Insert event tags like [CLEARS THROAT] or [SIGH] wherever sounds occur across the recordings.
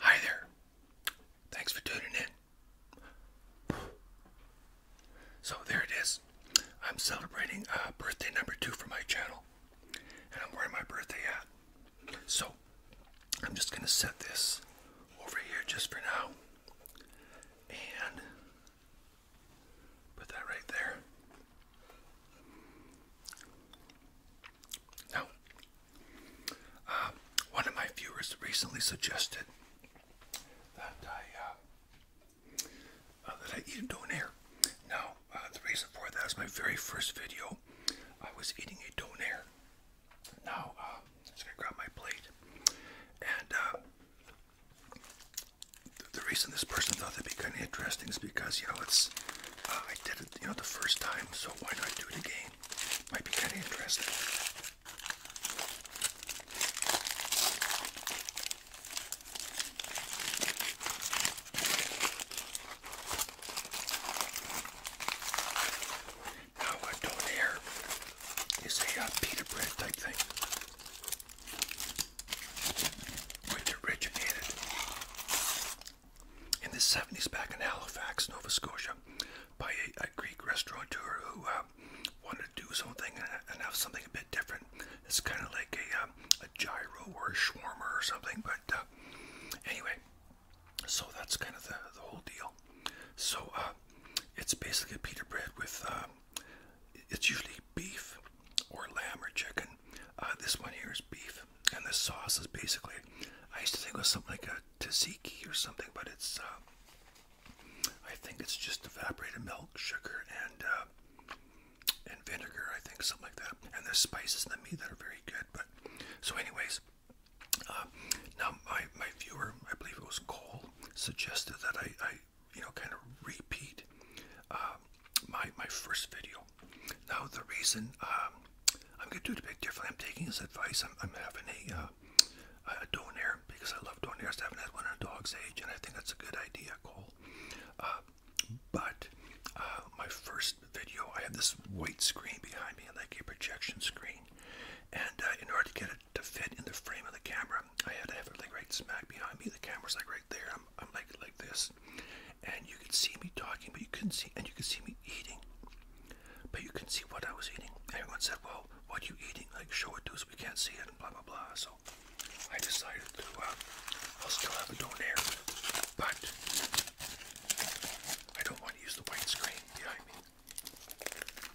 Hi there. Thanks for tuning in. So there it is. I'm celebrating uh, birthday number two for my channel, and I'm wearing my birthday hat. So I'm just going to set this over here just for now and put that right there. Now, uh, one of my viewers recently suggested that I uh, uh, that I eat a donair. Now, the reason for that is my very first video. I was eating a donair, now, uh, um, I'm just gonna grab my plate. And uh, the, the reason this person thought that'd be kind of interesting is because you know it's uh, I did it you know the first time, so why not do it again? Might be kind of interesting. Now uh, down here is a uh, pita bread type thing. Which originated in the 70s back in Halifax, Nova Scotia, by a, Greek restaurateur who uh, wanted to do something and, have something a bit different. It's kind of like a, um, a gyro or a shawarma or something, but uh, anyway, so that's kind of the, the whole deal. So uh, it's basically pita bread with, uh, it's usually beef or lamb or chicken. Uh, this one here is beef, and the sauce is basically, I used to think it was something like a tzatziki or something, but it's, I think it's just evaporated milk, sugar, and and vinegar, I think, something like that. And there's spices in the meat that are very good. But so, anyways, uh, now, my, my viewer, I believe it was Cole, suggested that I, you know, kind of repeat uh, my, my first video. Now, the reason um, I'm going to do it a bit differently, I'm taking his advice, I'm, I'm having a, uh, because I love donairs, I haven't had one in a dog's age, and I think that's a good idea, Cole. Uh, but my first video, I have this white screen behind me, like a projection screen. And in order to get it to fit in the frame of the camera. I had to have it like right smack behind me. The camera's like right there. I'm, I'm like like this, and you could see me talking, but you couldn't see, and you could see me eating, but you couldn't see what I was eating. Everyone said, "Well, what are you eating? Like show it to us. We can't see it." And blah blah blah. So I decided to. Uh, I'll still have a donair, but I don't want to use the white screen behind me.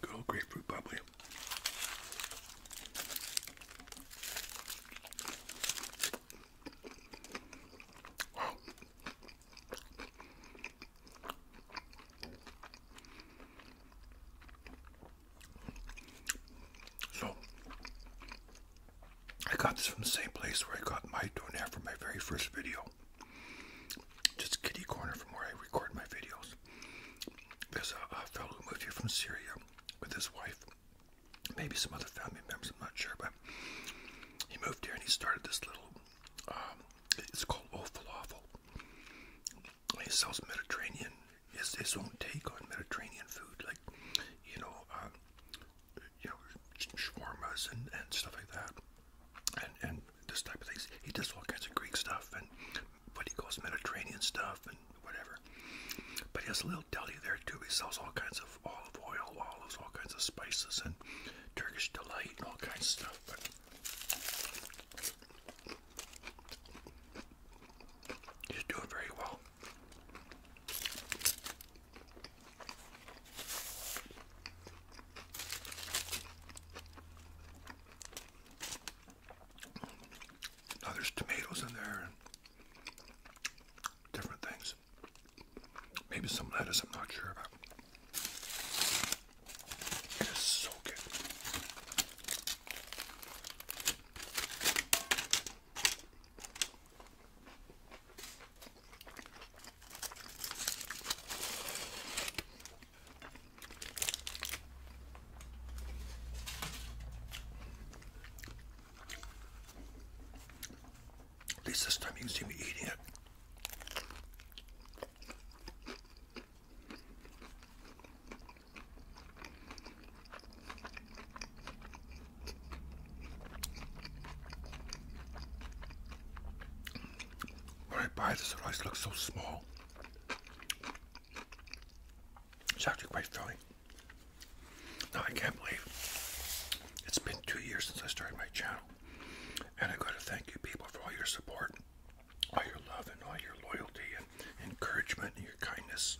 Good grapefruit bubbly. So, I got this from the same place where I got my doorknob for my very first video. Just kitty corner from where I record my videos. There's a, fellow who moved here from Syria with his wife, maybe some other family members, I'm not sure, but he moved here and he started this little, um, it's called O Falafel. He sells Mediterranean, his, his own take on Mediterranean food, like, you know, um, you know, shawarmas and, and stuff like that. And, and this type of things. He does all kinds of Greek stuff and but he goes Mediterranean stuff and whatever. But he has a little deli there too. He sells all kinds of olive oil, olives, all kinds of spices, and Turkish delight and all kinds of stuff. he's doing very well. Oh, there's tomatoes in there and different things. Maybe some lettuce, I'm not sure about. It is so good. At least this time you can see me eating it. When I buy this, it so small. It's actually quite filling. No, I can't believe it's been two years since I started my channel, and I got to thank you people for all your support, all your love, and all your loyalty and encouragement and your kindness.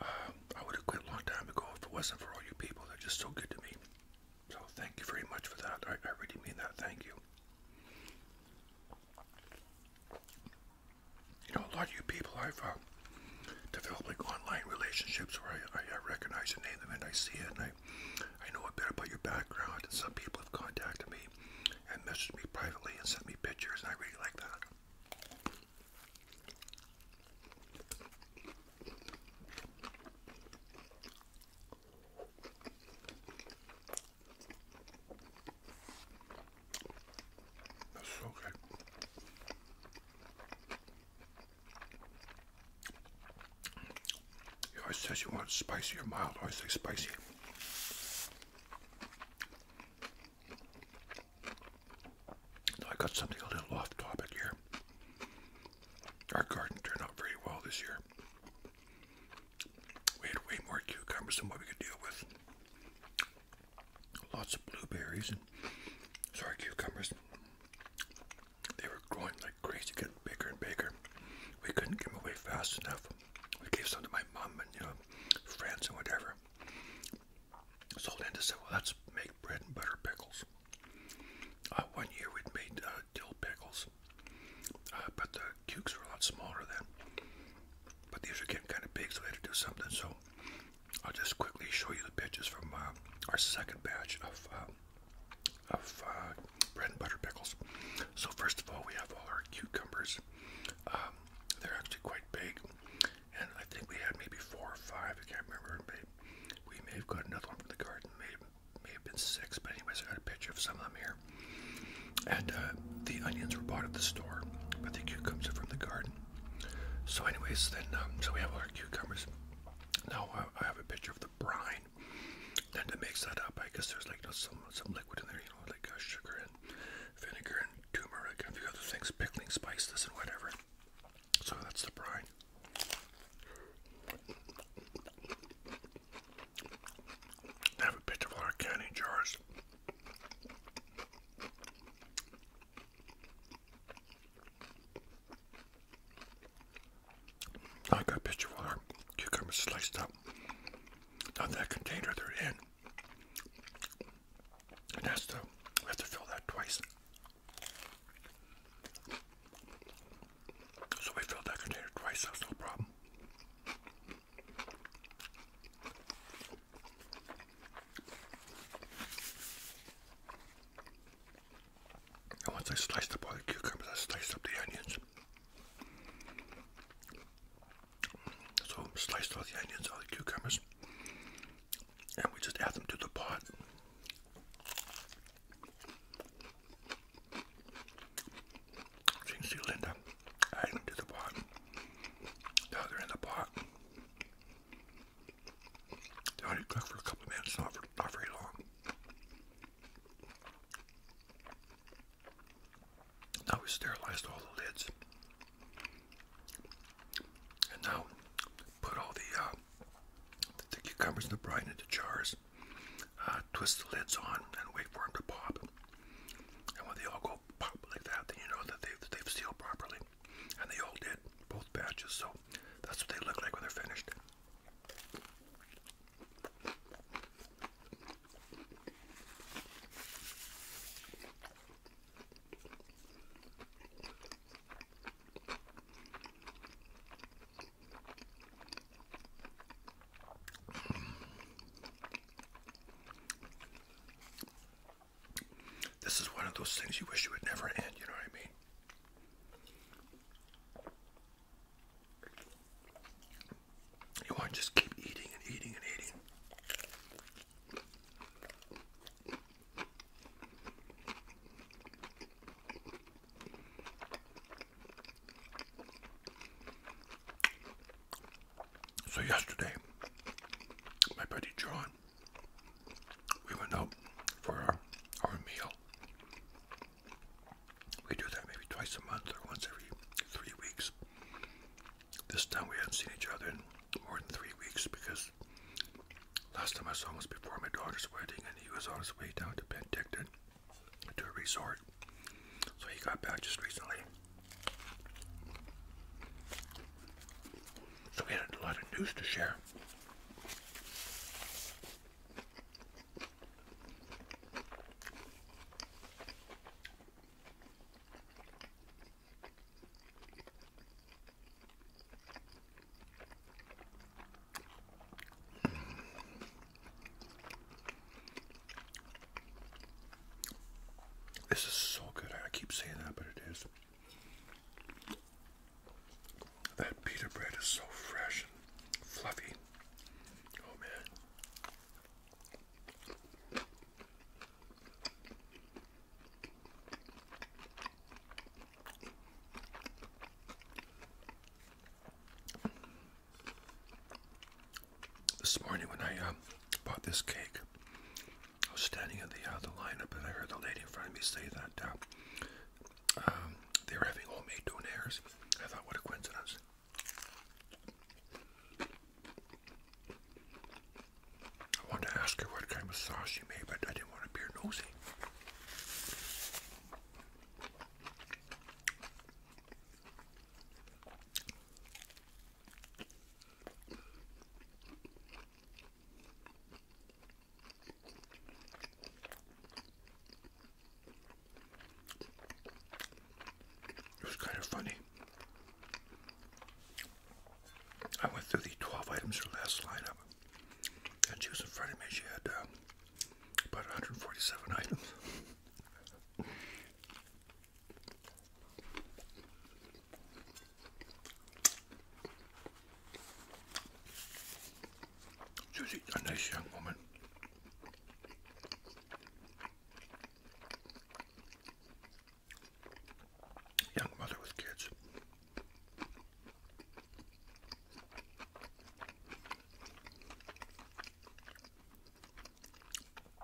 Um, I would have quit a long time ago if it wasn't for all you people. They're just so good to me. So thank you very much for that. I really mean that. Thank you you know, a lot of you people, I've uh, developed like online relationships where I, I, I recognize your name and I see it and I, I know a bit about your background. And some people have contacted me and messaged me privately and sent me pictures, and I really like that. That's so good. You always say you want spicy or mild. I always say spicy. Now I got something a little off topic here. Our garden turned out very well this year. We had way more cucumbers than what we could deal with lots of blueberries and sorry cucumbers. They were growing like crazy, getting bigger and bigger. We couldn't give them away fast enough. We gave some to my mom and you friends and whatever. So Linda said, "Well, let's make bread and butter pickles." Uh, one year we'd made uh, dill pickles, uh, but the cucumbers were a lot smaller then but these are getting kind of big, so we had to do something. So I'll just quickly show you the pictures from uh, our second batch of um, of uh, bread and butter pickles. So first of all, we have all our cucumbers. Um, they're actually quite big, and I think we had maybe four or five. I can't remember. Maybe we may have got another one from the garden. Maybe may have been six, but anyways, I got a picture of some of them here and uh, the onions were bought at the store, but the cucumbers are from the garden. So, anyways, then um, so we have all our cucumbers. Now uh, I have a picture of the brine. Then to mix that up, I guess there's like some some liquid in there, you know, like uh, sugar and vinegar and turmeric and a few other things, pickling spices and whatever. So that's the brine. have a picture of our canning jars. I got a of our cucumbers sliced up. Now that container they're in. And that's the we to fill that twice. So we filled that container twice, that's no problem. And once I sliced up all the cucumbers, I sliced up the onions. So sliced all the onions, all the cucumbers, and we just add them to the pot. Jinxie Linda add into the pot, the other in the pot. They only cook for a couple of minutes, not, not very long. Now we sterilized all the lids. And now put all the, uh, the cucumbers and the brine into jars. Uh, twist the lids on and wait for them to pop. And when they all go all that, then you know that they've, they've sealed properly. And they all did, both batches, so that's what they look like when they're finished. This is one of those things you wish you would never end, you know what I mean? You want to just keep eating and eating and eating. So yesterday, my buddy John, we went out for our, meal. We do that maybe twice a month or once every three weeks. This time we hadn't seen each other in more than three weeks because last time I saw him was before my daughter's wedding and he was on his way down to Penticton to a resort. So he got back just recently. So we had a lot of news to share. This is so good. I keep saying that, but it is. That pita bread is so fresh and fluffy. Oh man. This morning when I um, bought this cake, I was standing in the, uh, the lineup and I heard the lady in front of me say that uh, um, they were having homemade donairs. I thought, what a coincidence. I wanted to ask her what kind of sauce she made, but I didn't want to appear nosy. It was kind of funny. I went through the 12 items her last lineup, and she was in front of me. She had uh, about 147 items. Susie's a nice young woman. Young mother with kids.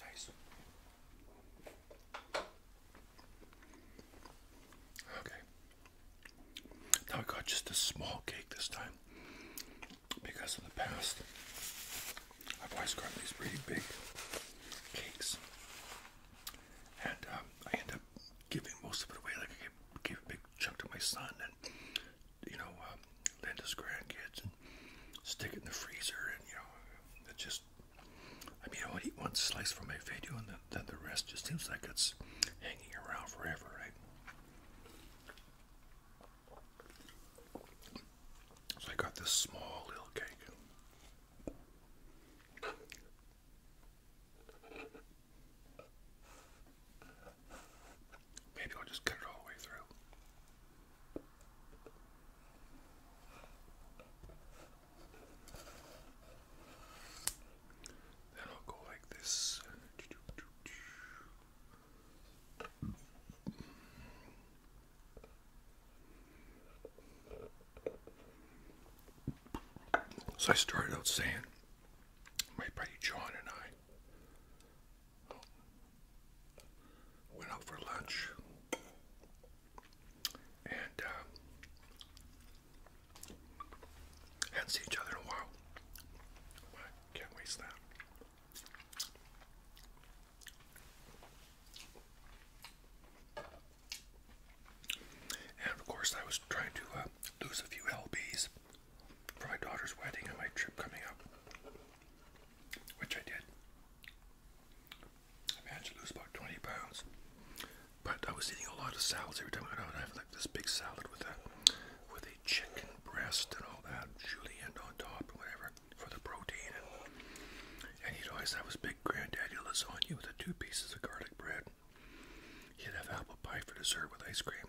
Nice. Okay. Now I got just a small cake this time because in the past I've always gotten these really big cakes and um, I end up giving most of it away. Like I gave, a big chunk to my son you know, um, Linda's grandkids and stick it in the freezer. And, you know, it just, I mean, I'll eat one slice for my video and then, then the rest just seems like it's hanging around forever, right? So I got this small little cake. Maybe I'll just cut it all the way through. Then I'll go like this. So I started out saying, my buddy John and I Went out for lunch, and uh, hadn't seen each other in a while. can't waste that. And of course, I was trying to uh, lose a few lbs for my daughter's wedding and my trip coming up, which I did. I managed to lose about 20 pounds, but I was eating a lot of salads every time I went out. I have like this big salad with a with a chicken breast and all that, julienne on top whatever for the protein. And, and he'd always have his big granddaddy lasagna with the two pieces of garlic bread. He'd have apple pie for dessert with ice cream.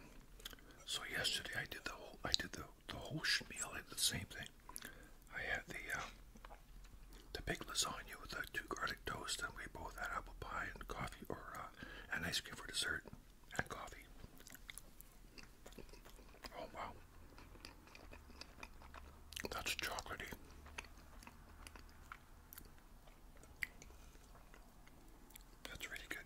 So yesterday I did the whole I did the the whole meal had the same thing. I had the uh, the big lasagna with the two garlic toast, and we both had apple pie and coffee, or uh, an ice cream for dessert and coffee. Oh wow, that's chocolatey. That's really good.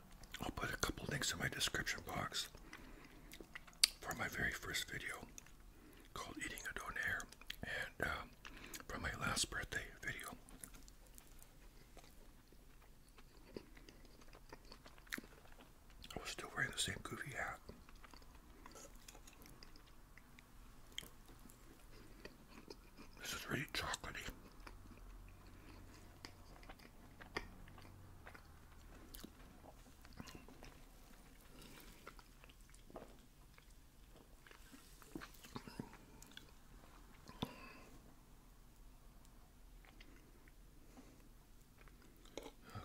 I'll put a couple links in my description box for my very first video called Eating a Donair and uh, um, from my last birthday video. I was still wearing the same goofy hat. This is really chocolatey.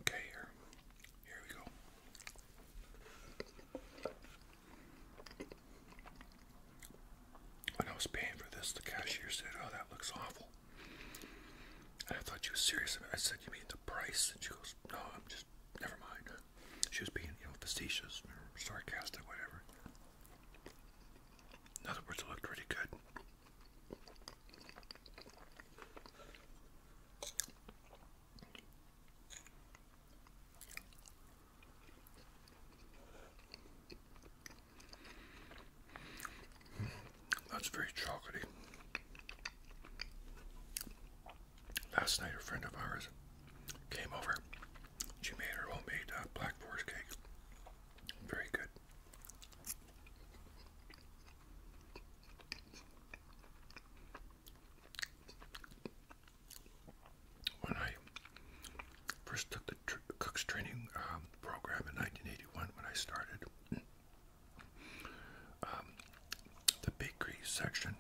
Okay, here. Here we go. When I was paying for this, the cashier said, Oh, that looks awful. And I thought she was serious. I said, "You mean the price?" And she goes, "No, I'm just never mind." She was being, you know, facetious or sarcastic, whatever. In other words, it looked pretty good. That's very chocolatey. Last night, a friend of ours came over. She made her homemade uh, black forest cake. Very good. When I first took the cook's training um, program in 1981, when I started, um, the bakery section.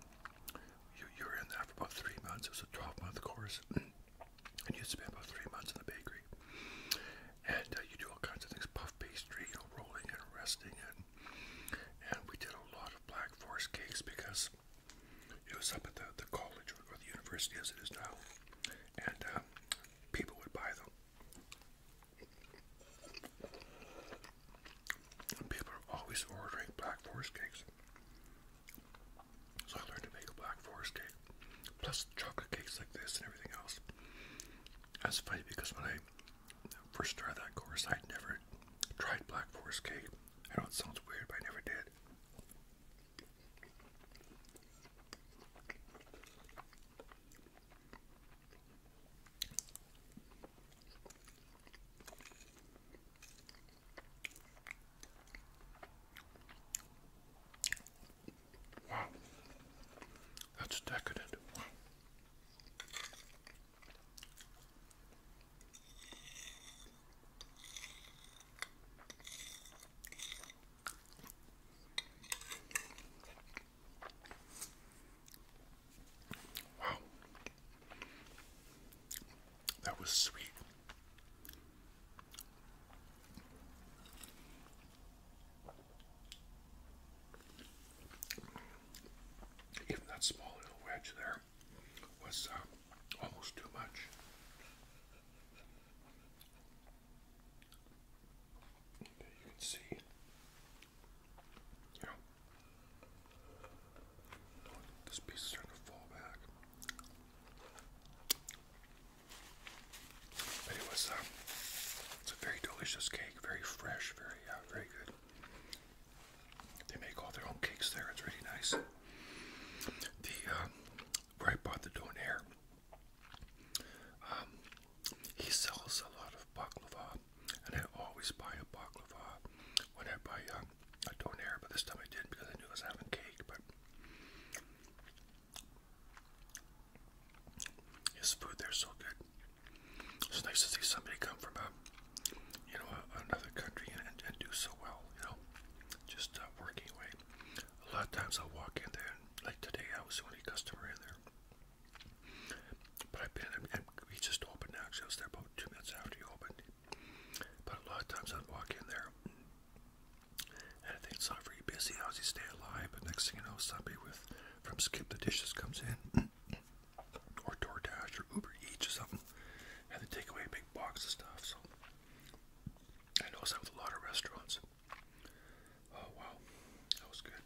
You, you were in there for about three months. It was a 12 month course. [CLEARS THROAT] And you spend about three months in the bakery. And uh, you do all kinds of things puff pastry, you know, rolling and resting. And, and we did a lot of Black Forest cakes because it was up at the, the college or the university as it is now. And um, people would buy them people are always ordering black forest cakes. So I learned to make a black forest cake, plus chocolate cakes like this and everything else. That's funny because when I first started that course, i never tried black forest cake. I know it sounds weird, but I never did. Wow, that's decadent. Wow. Wow. That was sweet. Even that small little wedge there was uh, almost too much you can see. You this piece is starting to fall back. But it was, um, it's a very delicious cake, very fresh, very, very good. They make all their own cakes there. It's really nice. The right uh, where I bought the donair, um, he sells a lot of baklava, and I always buy a baklava when I buy um, a but this time I did because I knew I was having cake. But his food there's so good. It's nice to see somebody come from a, uh, you know, another country and, and, do so well. You know, just uh, working away. A lot of times I'll walk in there, like today I was the only customer in there. But I've been in, and we just opened now, so I was there about two minutes after you opened. But a lot of times I'd walk in there and I think it's not very busy. How's he stay alive? But next thing you know, somebody with from Skip the Dishes comes in, [CLEARS THROAT] or DoorDash, or Uber Eats, or something, and they take away a big box of stuff. So I know that with a lot of restaurants. Oh wow, that was good.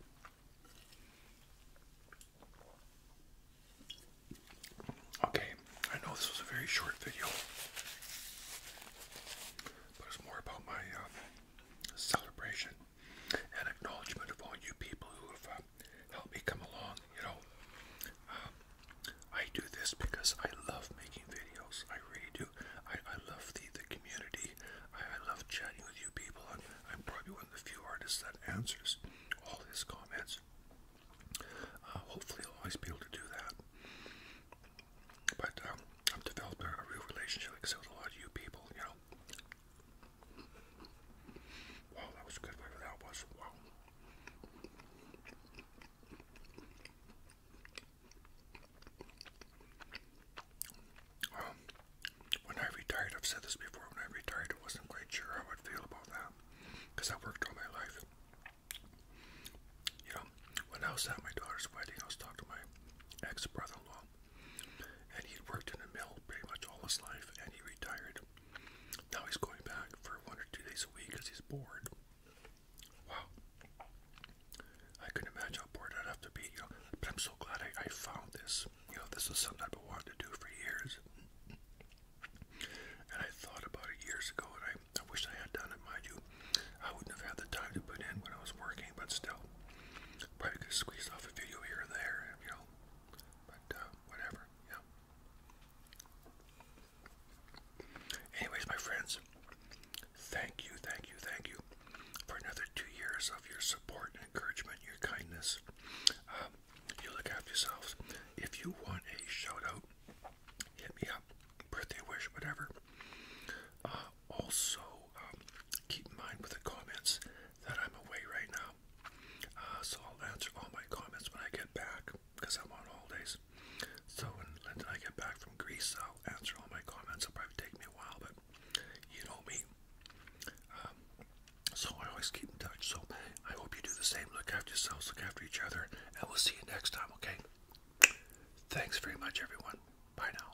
Okay, I know this was a very short video, but it's more about my uh, celebration and acknowledgement of all you people who have uh, helped me come along. You know, um, I do this because I love making videos. I really do. I, I love the the, community. I, love chatting with you people, I'm probably one of the few artists that answers all his comments. Uh, hopefully, I'll always be able to do that. But um, I've developed a, real relationship, like I with a lot of you people, you know. Wow, that was good, that was. Wow. Um, when I retired, I've said this before, when I retired, I wasn't quite sure how I'd feel about that because I worked all my life. You know, when I was at my daughter's wedding, I was talking to my ex brother in law, and he'd worked in a mill pretty much all his life, and he retired. Now he's going back for one or two days a week because he's bored. Wow. I could imagine how bored I'd have to be, you know. But I'm so glad I, found this. You know, this was something I've been wanting to do for years. And I thought about it years ago, and I, I wish I had done it, mind you. I wouldn't have had the time to put in when I was working, but still. Probably could have off a video here and there, you know. But, uh, whatever, yeah. Anyways, my friends, thank you, thank you, thank you for another two years of your support encouragement, your kindness. Um, you look after yourselves. If you want a shout out, hit me up, birthday wish, whatever. Uh, also, um, keep in mind with the comments that I'm away right now. Uh, so I'll answer all my comments when I get back because I'm on holidays. So when I get back from Greece, I'll answer all my comments. It'll probably take me a while, but you know me. Um, so I always keep in touch. So I hope you do the same. Look after yourselves, look after each other, and we'll see you next time, okay? Thanks very much, everyone. Bye now.